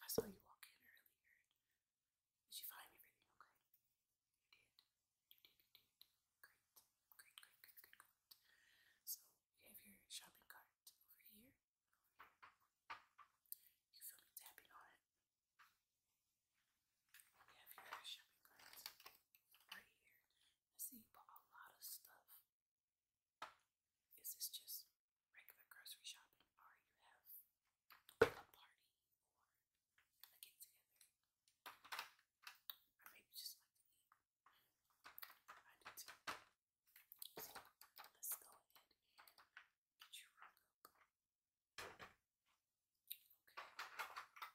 I saw you walk in earlier. Did you find everything okay? You did. You did, you did. Great. Great, great, great, great, great. So, you have your shopping cart over here. You feel me tapping on it. You have your shopping cart right here. I see you bought a lot of stuff. Is this just regular grocery shopping or you have a party or get together? Or maybe just like I do too. let's go ahead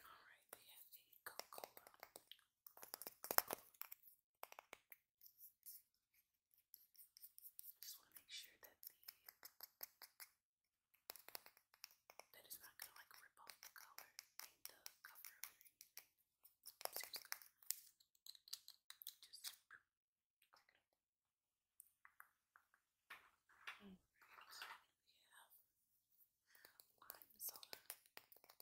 Alright, we have a Coca-Cola. just want to make sure that that is not gonna like rip off the color the cover Mm. We have lime soda. Same thing. It open.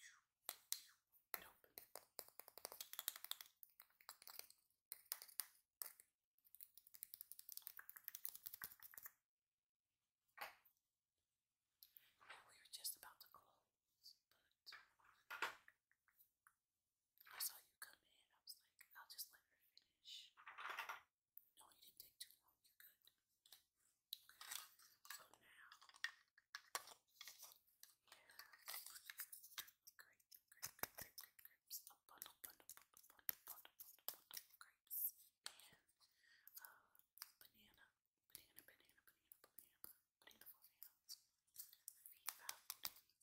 Yeah, we were just about to close, but I saw you come in. I was like, I'll just let her finish. No, you didn't take too long. You're good. So now, yeah, grape, grape, grape, grape, grape, A bundle, bundle, bundle, bundle, bundle, bundle, grapes. And banana, banana, banana, banana, banana, banana banana.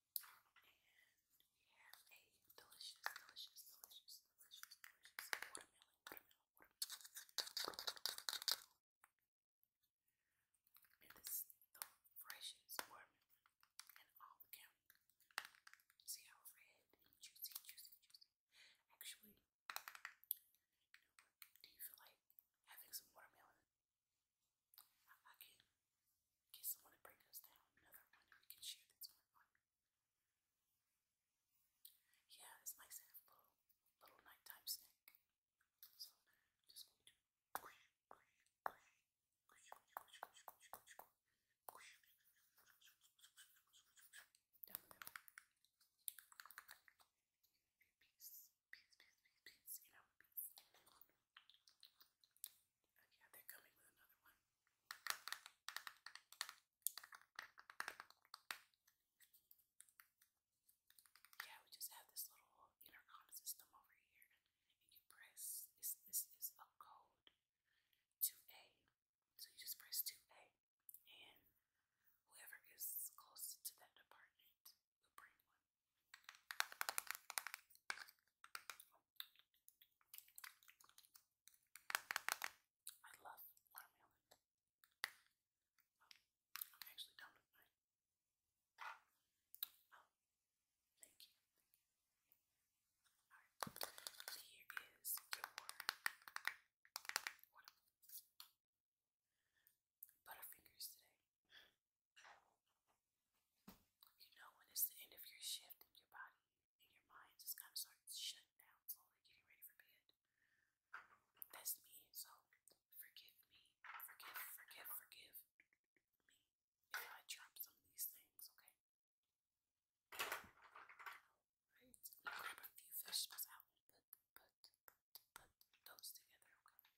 And we have a delicious, delicious, delicious, delicious, delicious watermelon, watermelon, the freshest watermelon in all the county. See how red juicy, juicy, juicy. Actually, Do you feel like having some watermelon? I could get someone to break us down another one we can share this one. Yeah, this might little, little nighttime snack. So just going to down the middle. Piece, piece, you know, yeah, they're coming with another one. Yeah, we just have this little intercom system over here, and you press this. is a code two A, so you just press two A, and whoever is closest to that department will bring one. I love watermelon. Oh, I'm actually done with mine. Oh, thank you. Alright, so here is your Butterfingers today. You know when it's the end of your shift and your body and your mind just kind of starts shutting down slowly, getting ready for bed. That's me, so forgive me. Forgive, forgive, forgive me if I drop some of these things, okay? am gonna grab a few vegetables out put, put, put, put those together, okay?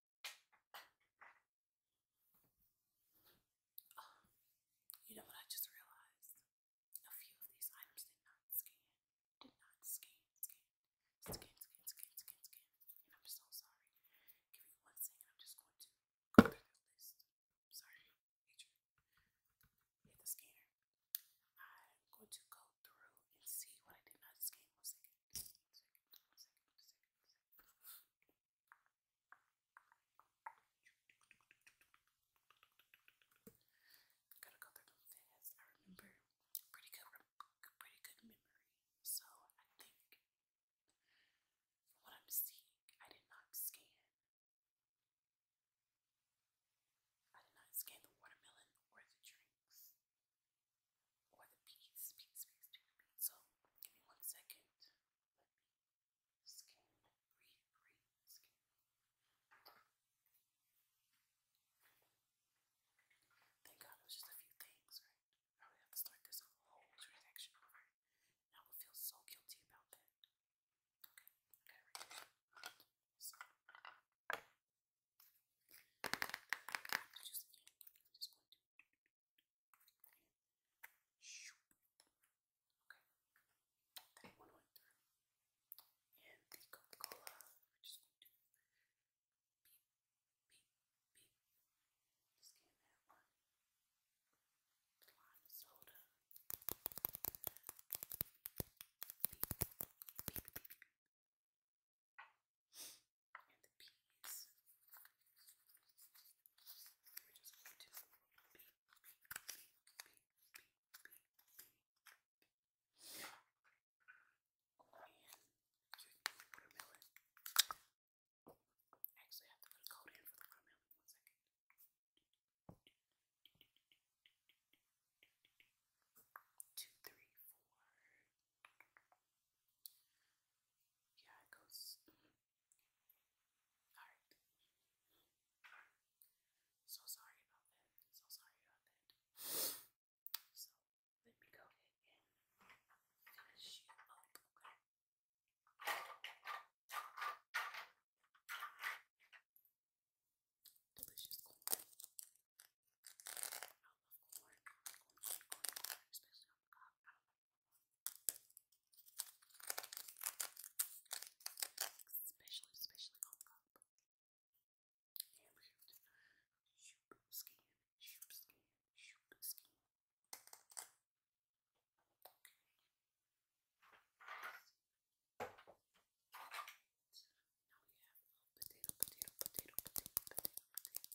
Oh, you know what I just realized? A few of these items did not scan. Did not scan, scan, scan, scan, scan, scan, I'm so sorry. Give me one second. I'm just going to go through this sorry, Adrian. Hit the scanner. I'm going to go through and see what I did not scan. Gotta go through them fast. I remember pretty good, pretty good memory. So I think, from what I'm seeing, I did not scan. I did not scan the watermelon or the drinks or the peas, peas, peas, peas. peas. So give me one second. Thank God it was just a few things, right? I would have to start this whole transaction over. I would feel so guilty about that. Okay, Okay. That one went And the cola we're just going to beep, beep, beep. Scan that one. The lime soda. Beep, beep, beep, beep. And the peas. We're Actually, have to put a coat in for the watermelon. One second. Two, three, four. Yeah, it goes. So sorry about that. So sorry about that. So let me go ahead and finish up, Delicious corn. I corn, Especially, especially on top. And shoot. Shoot skin. Shoot skin. Shoot skin. Okay. Now we have potato, potato, potato, potato, potato, potato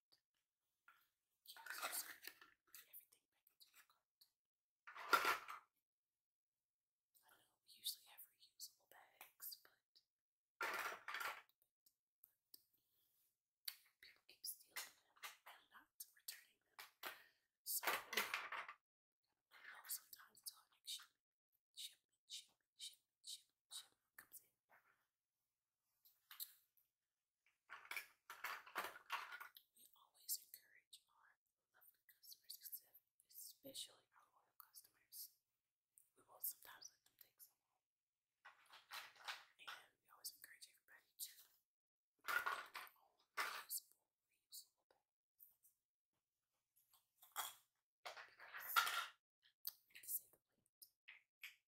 Yes, everything I know we usually have reusable bags, but, people keep stealing them and not returning them. So I know sometimes until our next shipment, shipment, shipment, shipment, shipment, shipment comes in. We always encourage our lovely customers, especially our loyal customers. We will sometimes let them take some home. And we always encourage everybody to bring their own reusable, reusable bags. Because you can the plate.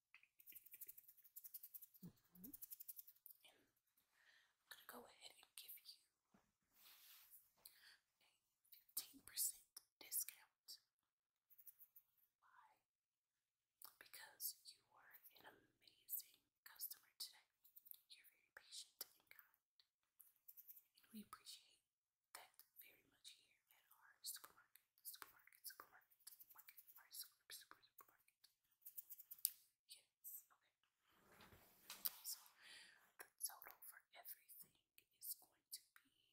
Mm I'm going to go ahead and give you a 15% discount. Why? Because you were an amazing customer today. You're very patient and kind. we appreciate that very much here at our supermarket, supermarket, supermarket, market, our supermarket. Yes, okay. So the total for everything is going to be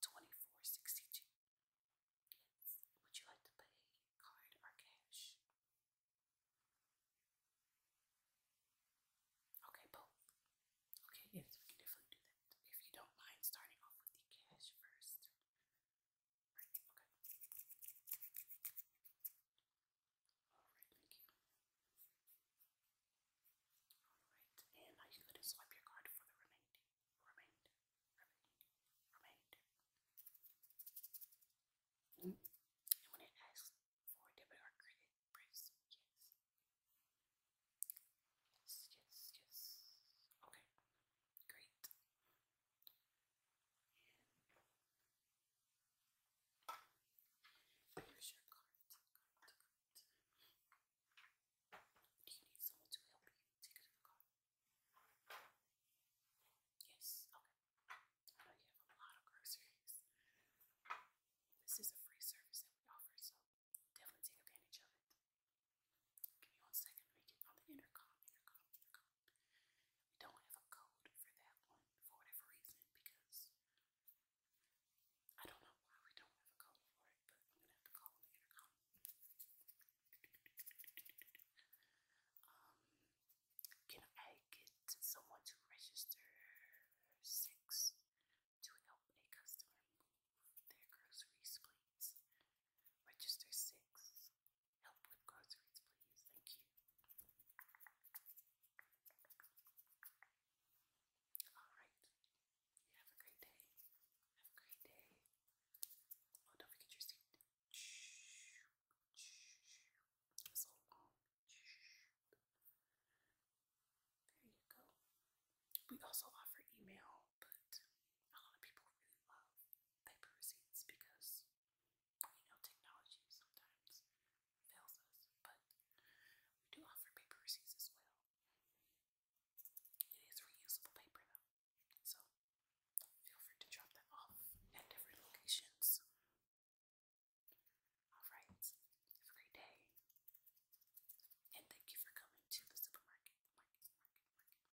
twenty-four sixty-two. Yes. Would you like to pay card or cash? Okay, both. Okay, yes, we can definitely do that. If you don't mind starting off with the cash first and are you going to swipe your card for the remainder? Remainder? Remainder? Remainder? when it asks for debit or credit, press yes. Yes, yes, yes. Okay. Great. here's your card. Do you need someone to help you take it in the car? Yes, okay. I know you have a lot of groceries. This is a free service that we offer, so definitely take advantage of it. Give me one second. We get on the intercom, intercom, intercom. We don't have a code for that one for whatever reason because I don't know why we don't have a code for it, but I'm gonna have to call the intercom. Um, can I get someone to register six to help a customer move their groceries, please? Register six. Help with groceries, please. Thank you. All right. have a great day. Have a great day. Oh, don't forget your seat. It's so long. There you go. We also offer email, but a lot of people really love paper receipts because, you know, technology sometimes fails us, but we do offer paper receipts as well. It is reusable paper though, so feel free to drop that off at different locations. Alright, have a great day, and thank you for coming to the supermarket.